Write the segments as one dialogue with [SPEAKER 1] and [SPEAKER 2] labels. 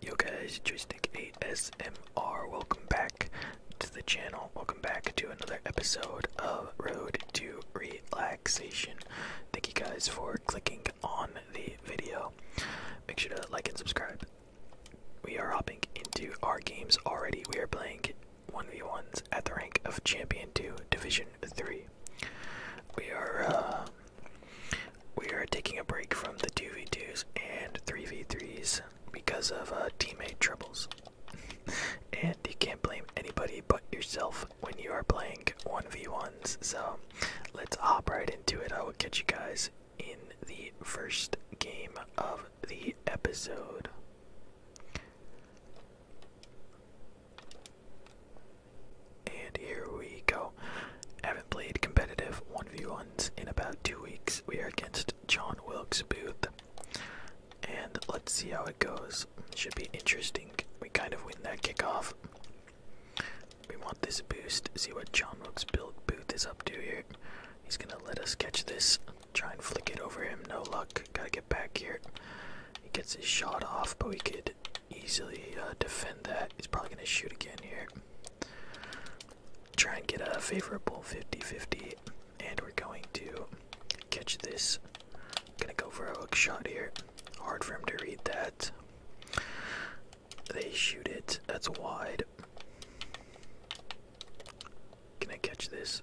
[SPEAKER 1] Yo guys, Joystick ASMR, welcome back to the channel. Welcome back to another episode of Road to Relaxation. Thank you guys for clicking on the video. Make sure to like and subscribe. We are hopping into our games already. We are playing 1v1s at the rank of Champion 2, Division 3. We are uh, we are taking a break from the 2v2s and 3v3s because of uh, teammate troubles. and you can't blame anybody but yourself when you are playing 1v1s. So let's hop right into it. I will catch you guys in the first game of the episode. And here we go. Haven't played competitive 1v1s in about two weeks. We are against John Wilkes Booth. And let's see how it goes. Should be interesting. We kind of win that kickoff. We want this boost. See what John Wilkes Booth is up to here. He's gonna let us catch this. Try and flick it over him. No luck. Gotta get back here. He gets his shot off, but we could easily uh, defend that. He's probably gonna shoot again here. Try and get a favorable 50-50, and we're going to catch this. Gonna go for a hook shot here. Hard for him to read that. They shoot it. That's wide. Can I catch this?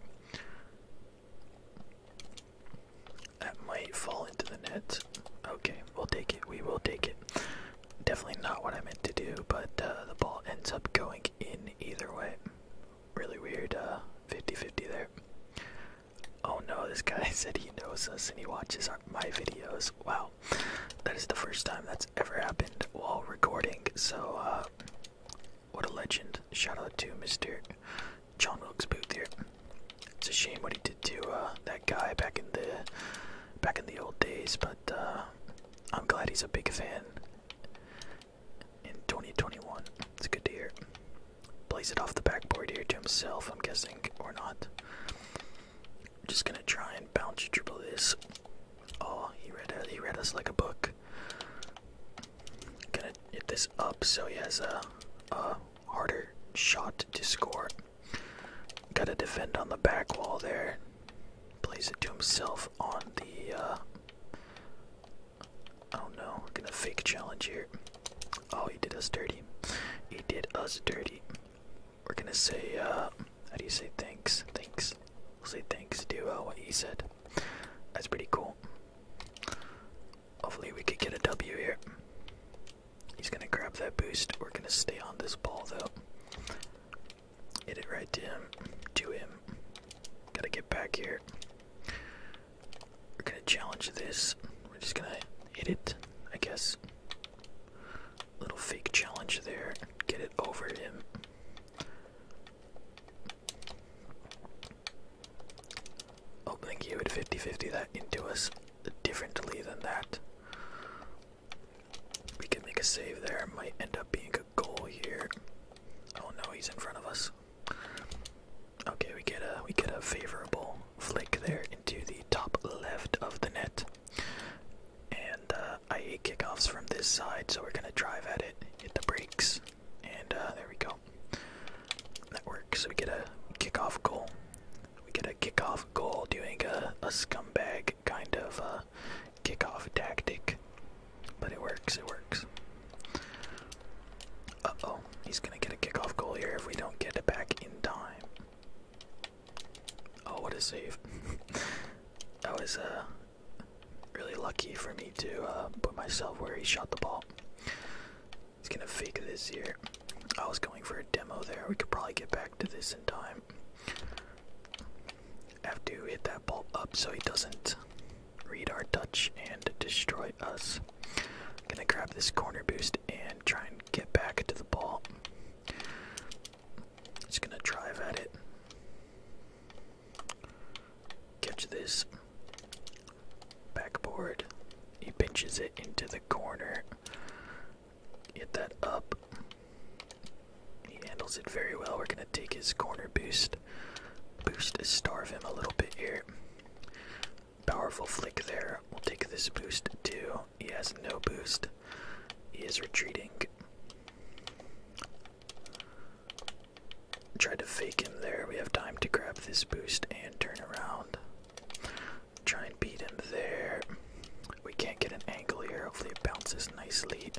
[SPEAKER 1] That might fall into the net. Okay, we'll take it. We will take it. Definitely not what I meant to do, but uh, the ball ends up going in either way. Really weird 50-50 uh, there. Oh no, this guy said he knows us and he watches my videos. Wow, that is the first time that's ever happened while recording. So, uh, what a legend. Shout to Mr. John Wilkes Booth here. It's a shame what he did to uh, that guy back in the back in the old days, but uh, I'm glad he's a big fan in 2021. It's good to hear. Plays it off the backboard here to himself, I'm guessing, or not. Just gonna try and bounce triple this. Oh, he read uh, he read us like a book. Gonna hit this up so he has a, a harder shot to score. Gotta defend on the back wall there. Plays it to himself on the. oh no, gonna fake challenge here. Oh, he did us dirty. He did us dirty we're gonna say, uh, how do you say thanks? Thanks. We'll say thanks to uh, what he said. That's pretty cool. Hopefully we could get a W here. He's gonna grab that boost. We're gonna stay on this ball though. Hit it right to him. To him. Gotta get back here. We're gonna challenge this. We're just gonna hit it, I guess. Little fake challenge there. Get it over him. Oh, thank you. 50 50 that into us differently than that. We can make a save there. Might end up being a goal here. Oh no, he's in front of us. Okay, we get a we get a favorable flick there into the top left of the net and uh, I hate kickoffs from this side, so we're gonna drive at it, hit the brakes, and uh, there we go. That works. We get a kickoff goal. We get a kickoff goal doing a, a scumbag kind of a uh, kickoff tactic, but it works. It works. Uh oh, he's gonna get a kickoff goal here if we don't get it back in time. Oh, what a save. that was uh, really lucky for me to uh, put myself where he shot the ball. He's gonna fake this here. I was going for a demo there. We could probably get back to this in time. have to hit that ball up so he doesn't read our touch and destroy us. Gonna grab this corner boost and try and get back to the ball. Just gonna drive at it. Catch this backboard. He pinches it into the corner. Get that up. He handles it very well. We're gonna take his corner boost. Boost starve him a little bit here. Powerful flick there. We'll take this boost too. He has no boost. He is retreating. Try to fake him there. We have time to grab this boost and turn around. Try and beat him there. We can't get an angle here. Hopefully, it bounces nicely.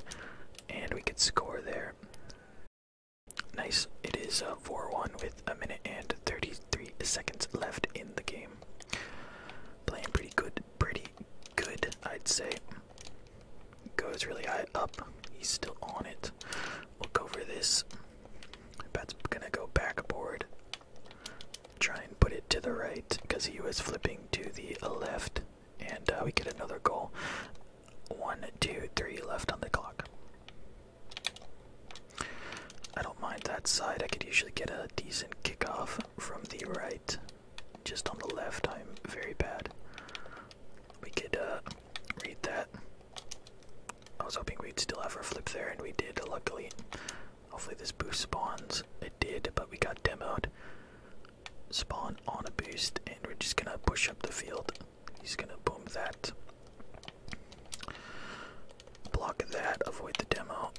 [SPEAKER 1] And we could score there. Nice. It is uh, 4 1 with a minute and 33 seconds left in the game. Playing pretty good. Pretty good, I'd say. Goes really high up. He's still on it. Look over this. That's gonna go backboard. Try and put it to the right because he was flipping to the left, and uh, we get another goal. One, two, three left on the clock. I don't mind that side. I could usually get a decent kickoff from the right just on the left. I'm very bad. We could uh, read that. I was hoping we'd still have our flip there, and we did, luckily. Hopefully this boost spawns. It did, but we got demoed. Spawn on a boost, and we're just gonna push up the field. He's gonna boom that. Block that, avoid the demo.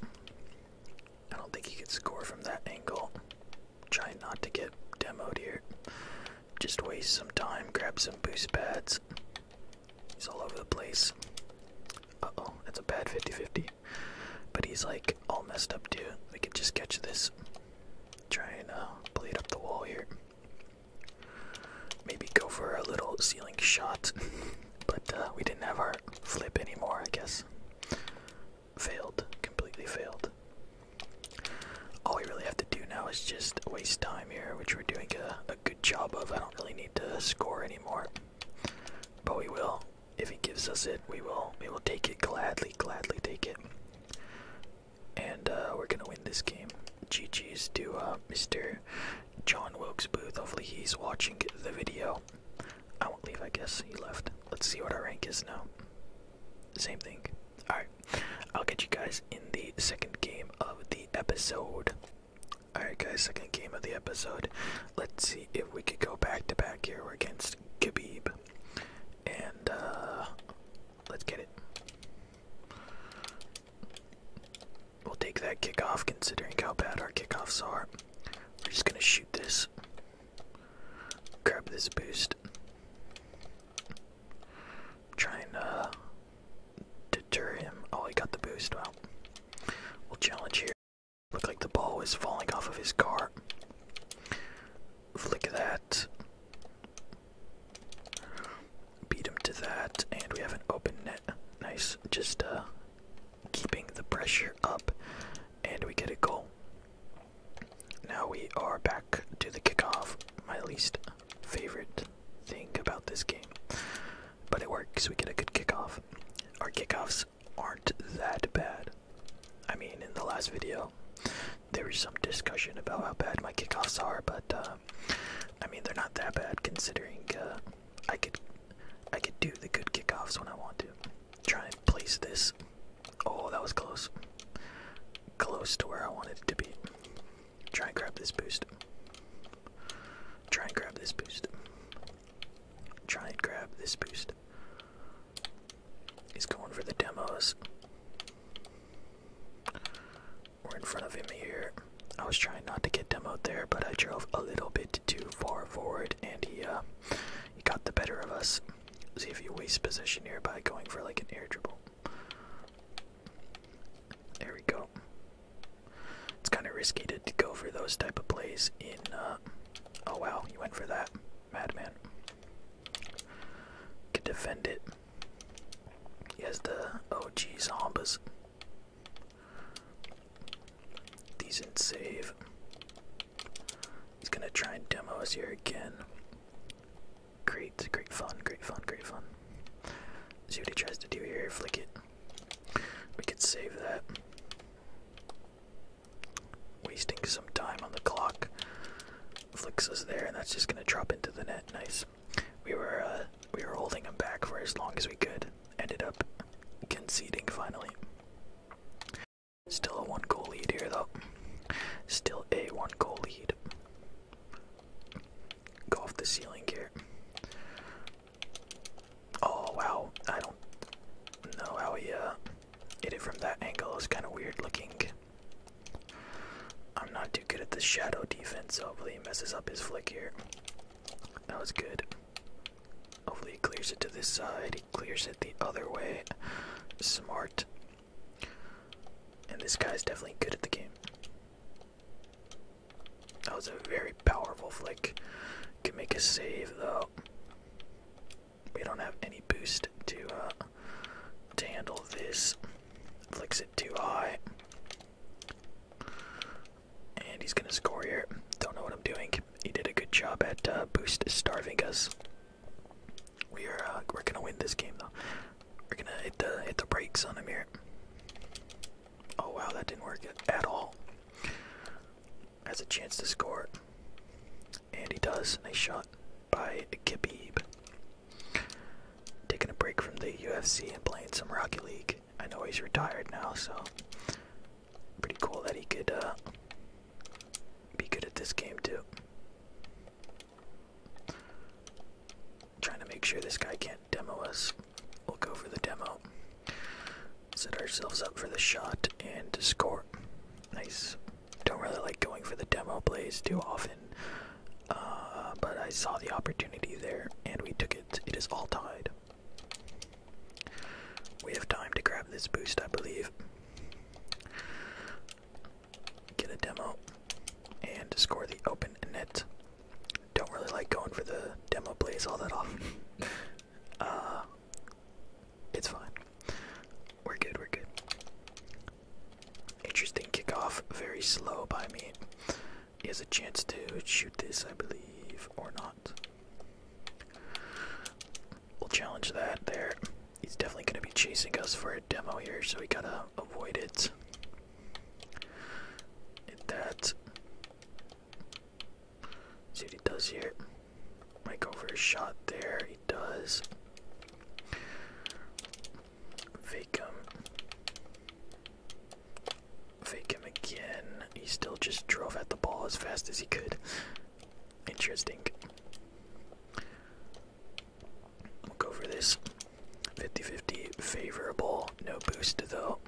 [SPEAKER 1] I don't think he could score from that angle. Trying not to get demoed here. Just waste some time, grab some boost pads. He's all over the place. Uh oh, that's a bad 50 50. But he's like all messed up too. We could just catch this. Trying to uh, bleed up the wall here. Maybe go for a little ceiling shot. but uh, we didn't have our flip anymore, I guess failed, completely failed. All we really have to do now is just waste time here, which we're doing a, a good job of. I don't really need to score anymore, but we will. If he gives us it, we will. We will take it gladly, gladly take it. And uh, we're gonna win this game. GG's to Mr. John Wilkes Booth. Hopefully he's watching the video. I won't leave, I guess. He left. Let's see what our rank is now. Same thing. Alright. I'll get you guys in the second game of the episode. Alright, guys, second game of the episode. Let's see if we could go back to back here. against Khabib. And, uh, let's get it. We'll take that kickoff considering how bad our kickoffs are. We're just gonna shoot this. Grab this boost. Trying to deter him. Oh, he got the boost. Well, we'll challenge here. Look like the ball was falling off of his car. Flick that. Beat him to that, and we have an open net. Nice. Just uh, keeping the pressure up, and we get a goal. Now we are back to the kickoff, my least favorite thing about this game. But it works, we get a good kickoff. Our kickoffs aren't that bad. I mean, in the last video, there was some discussion about how bad my kickoffs are, but uh, I mean, they're not that bad considering uh, I could I could do the good kickoffs when I want to. Try and place this Oh, that was close. Close to where I wanted it to be. Try and grab this boost. Try and grab this boost. Try and grab this boost. He's going for the demos. We're in front of him here. I was trying not to get demoed there, but I drove a little bit too far forward, and he uh, he got the better of us. See if you waste position here by going for like an air dribble. There we go. It's kind of risky to go for those type of plays in. Uh, oh wow, you went for that, madman. Could defend it. He has the OG zombies. Decent save. He's gonna try and demo us here again. Great, great fun, great fun, great fun. See what he tries to do here, flick it. We could save that. Wasting some time on the clock. Flicks us there, and that's just gonna drop into the net. Nice. We were uh, we were holding him back for as long as we could. Ended up conceding finally. Still a one goal lead here, though. Still a one goal lead. Go off the ceiling here. Oh, wow. I don't know how he uh, hit it from that angle. It's kind of weird looking. I'm not too good at the shadow defense, so hopefully he messes up his flick here. That was good. Hopefully he clears it to this side clears it the other way. Smart. And this guy's definitely good at the game. That was a very powerful flick. Can make a save though. We don't have any boost to uh, to handle this. Flicks it too high. And he's gonna score here. Don't know what I'm doing he did a good job at uh, boosting, starving us. We are uh, we're gonna win this game though. We're gonna hit the hit the brakes on him here. Oh wow, that didn't work at all. Has a chance to score, and he does. Nice shot by Khabib. Taking a break from the UFC and playing some Rocky League. I know he's retired now, so Pretty cool that he could uh, be good at this game too. Trying to make sure this guy can't demo us. We'll go for the demo. Set ourselves up for the shot and score. Nice. Don't really like going for the demo plays too often, uh, but I saw the opportunity there and we took it. It is all tied. We have time to grab this boost, I believe. Get a demo and score the open net. Don't really like going for the demo blaze all that often. uh, it's fine. We're good, we're good. Interesting kickoff, very slow by me. He has a chance to shoot this, I believe, or not. We'll challenge that there. He's definitely going to be chasing us for a demo here, so we got to avoid it. Hit that. See what he does here. Might go for a shot there. He does. Fake him. Fake him again. He still just drove at the ball as fast as he could. Interesting. We'll go for this. 50-50 favorable. No boost though.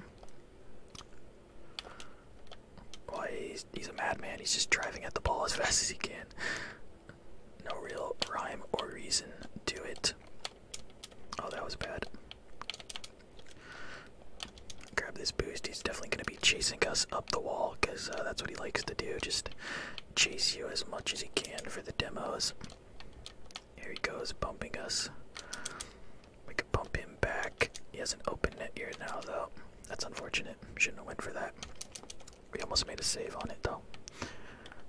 [SPEAKER 1] Why he's, he's a madman. He's just driving at the ball as fast as he can. No real rhyme or reason to it. Oh, that was bad. Grab this boost. He's definitely going to be chasing us up the wall because uh, that's what he likes to do. Just chase you as much as he can for the demos. Here he goes, bumping us. We could bump him back. He has an open net here now, though. That's unfortunate. Shouldn't have went for that. We almost made a save on it, though.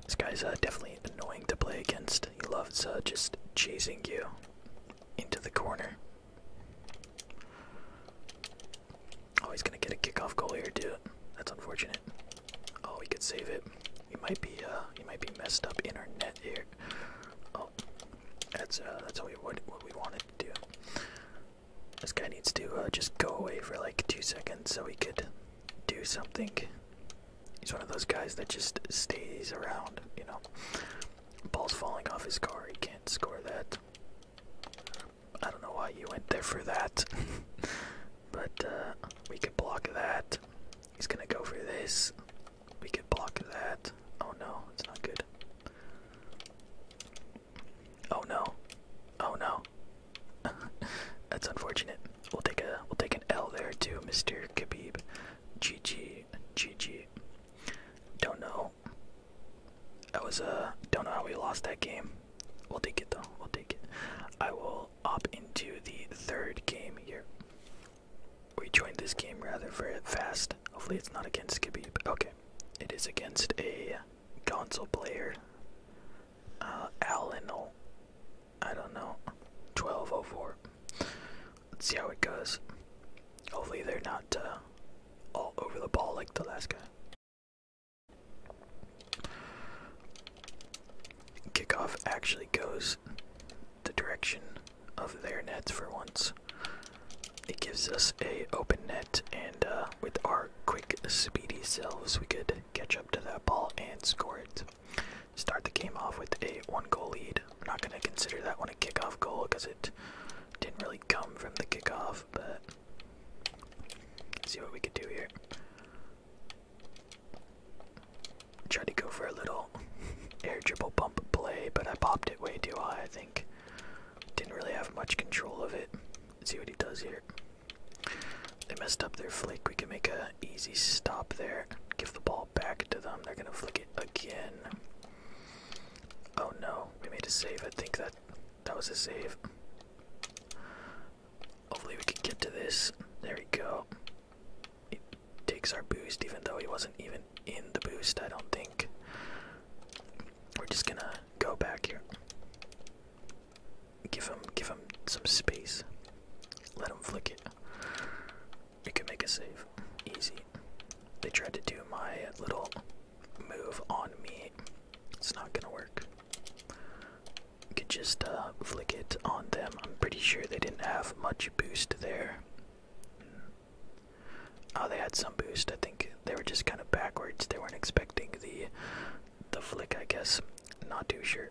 [SPEAKER 1] This guy's uh, definitely annoying to play against. He loves uh, just chasing you into the corner. Oh, he's gonna get a kickoff goal here, dude. That's unfortunate. Oh, we could save it. He might be, uh, he might be messed up in our net here. Oh, that's uh, that's what we what, we wanted to do. This guy needs to uh, just go away for like two seconds so we could do something. He's one of those guys that just stays around, you know. Ball's falling off his car. He can't score that. I don't know why you went there for that. but uh, we could block that. He's gonna go for this. We could block that. Oh no, it's not good. Oh no. Oh no. That's unfortunate. We'll take a we'll take an L there too, Mr. Khabib. GG. GG. Don't know that was uh don't know how we lost that game. We'll take it though. We'll take it. I will op into the third game here. We joined this game rather very fast. Hopefully it's not against Skippy. But okay, it is against a console player. Uh, Alano. I don't know. 1204. Let's see how it goes. Hopefully they're not uh, all over the ball like the last guy. Kickoff actually goes the direction of their nets for once. It gives us a open net, and uh, with our quick, speedy selves, we could catch up to that ball and score it. Start the game off with a one-goal lead. I'm not going to consider that one a kickoff goal because it didn't really come from the kickoff but see what we could do here. Tried to go for a little air dribble bump play, but I popped it way too high, I think. Didn't really have much control of it. see what he does here. They messed up their flick. We can make an easy stop there. Give the ball back to them. They're gonna flick it again. Oh no, we made a save. I think that that was a save. Hopefully we can get to this. There we go. It takes our boost even though he wasn't even in the boost, I don't think. We're just gonna go back here. Give him give him some space. Let him flick it. We could make a save. Easy. They tried to do my little move on me, it's not gonna work. You could just uh, flick it on them. I'm pretty sure they didn't have much boost there. Mm. Oh, they had some boost. I think they were just kind of backwards. They weren't expecting the the flick, I guess. Not too sure.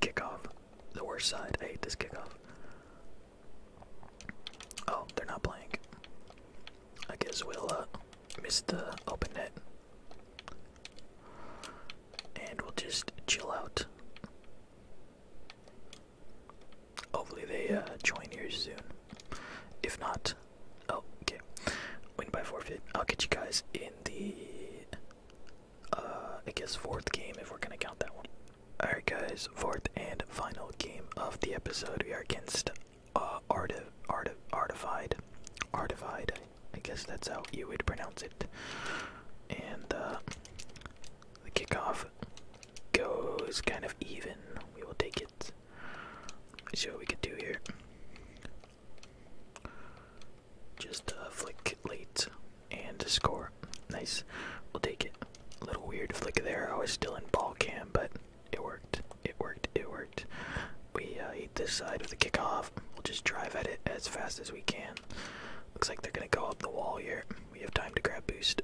[SPEAKER 1] Kickoff, the worst side. I hate this kickoff. Oh, they're not playing. I guess we'll uh, miss the open net. And we'll just chill out. Hopefully they uh, join here soon. If not, oh, okay. Win by forfeit. I'll get you guys in the, uh, I guess fourth game if we're gonna count that one. Alright guys, fourth and final game of the episode. We are against uh, arti artified, artified. I guess that's how you would pronounce it. And uh, the kickoff goes kind of even. We will take it. See what we can do here. Just uh, flick late and score. Nice. We'll take it. A little weird flick there. Oh, I was still in ball cam, but it worked. It worked. It worked. We uh, hit this side with a kickoff. We'll just drive at it as fast as we can. Looks like they're gonna go up the wall here. We have time to grab boost.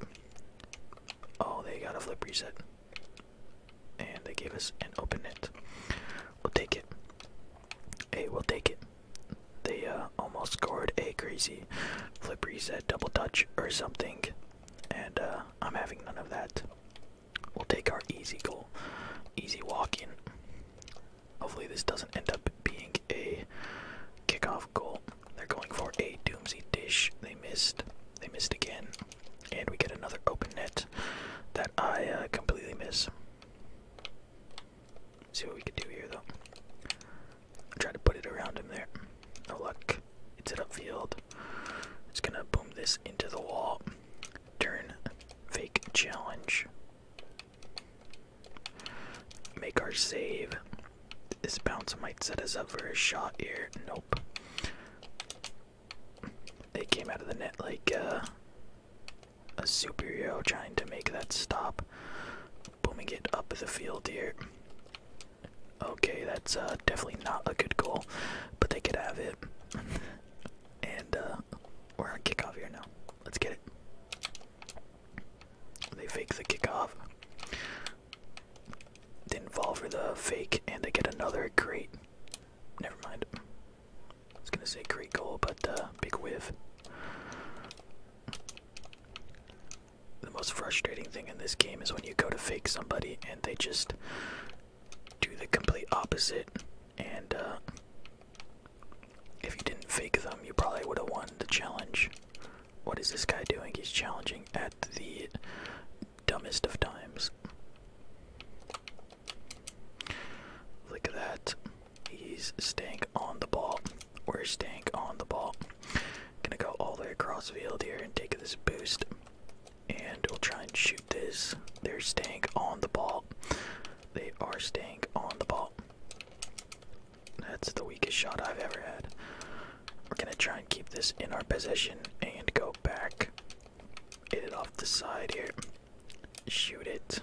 [SPEAKER 1] Oh, they got a flip reset. And they gave us an open net. We'll take it. Hey, we'll take it. They uh, almost scored a crazy flip reset double touch or something and uh, I'm having none of that. We'll take our easy goal, easy walking. Hopefully, this doesn't end up being a kickoff goal. They're going for a doomsy dish. They missed. They missed again, and we get another open net that I uh, completely miss. See what we can do here, though. Try to put it around him there. No luck. It's an upfield. It's gonna boom this into the wall. Turn fake challenge. Make our save. This bounce might set us up for a shot here. Nope. They came out of the net like uh, a superhero trying to make that stop. Booming it up the field here. Okay, that's uh, definitely not a good goal, but they could have it. and uh, we're on kickoff here now. Let's get it. They fake the kickoff. Didn't fall for the fake, and they get another great. Never mind. I was gonna say great goal, but uh, big whiff the most frustrating thing in this game is when you go to fake somebody and they just do the complete opposite. And uh, if you didn't fake them, you probably would have won the challenge. What is this guy doing? He's challenging at the dumbest of times. Look at that. He's staying on the ball. We're staying on the ball. Gonna go all the way across the field here and take this boost. And we'll try and shoot this. They're staying on the ball. They are staying on the ball. That's the weakest shot I've ever had. We're gonna try and keep this in our possession and go back. Hit it off the side here. Shoot it.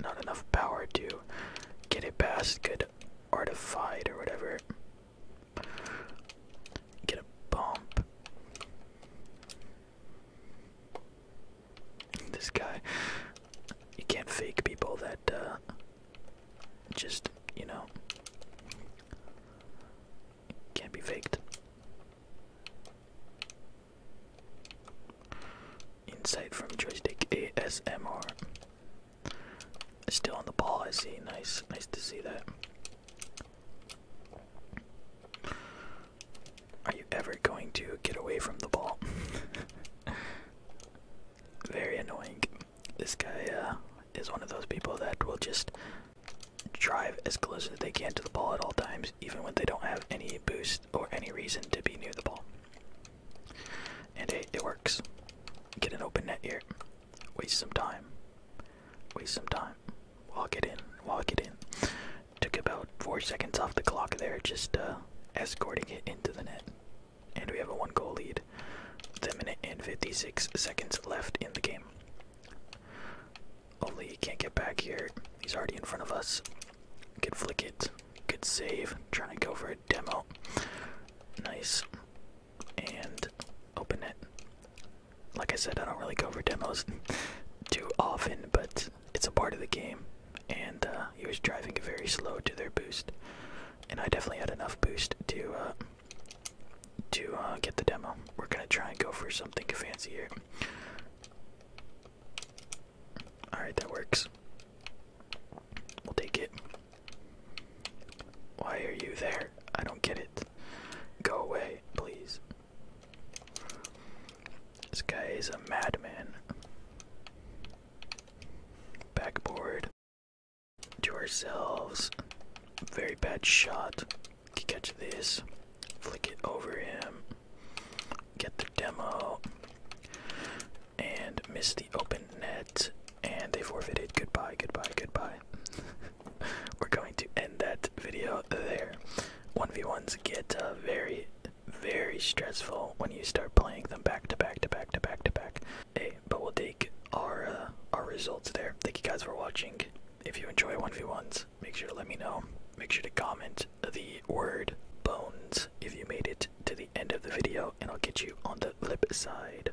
[SPEAKER 1] Not enough power to get it past good artified or whatever. Get a bump. This guy, you can't fake people that uh, just, you know, can't be faked. Insight from Joystick ASMR. Still on the ball, I see. Nice, nice to see that. Are you ever going to get away from the ball? Very annoying. This guy uh, is one of those people that will just drive as close as they can to the ball at all times, even when they don't have any boost or any reason to be near the ball. And hey, it works. Get an open net here. Waste some time. Waste some time. Walk it in. Walk it in. Took about four seconds off the clock there, just uh, escorting it into the net. And we have a one goal lead. The minute and 56 seconds left in the game. Only can't get back here. He's already in front of us. Good flick it. Good save. Trying to go for a demo. Nice and open it. Like I said, I don't really go for demos too often, but it's a part of the game. And uh, he was driving very slow to their boost, and I definitely had enough boost to uh, to uh, get the demo. We're gonna try and go for something fancy here. All right, that works. We'll take it. Why are you there? I don't get it. Go away, please. This guy is a madman. Backboard to ourselves. Very bad shot. Catch this. Flick it over him. Get the demo. And miss the open net. And they forfeited. Goodbye, goodbye, goodbye we're going to end that video there. 1v1s get uh, very, very stressful when you start playing them back to back to back to back to back. Hey, but we'll take our, uh, our results there. Thank you guys for watching. If you enjoy 1v1s, make sure to let me know. Make sure to comment the word bones if you made it to the end of the video, and I'll get you on the flip side.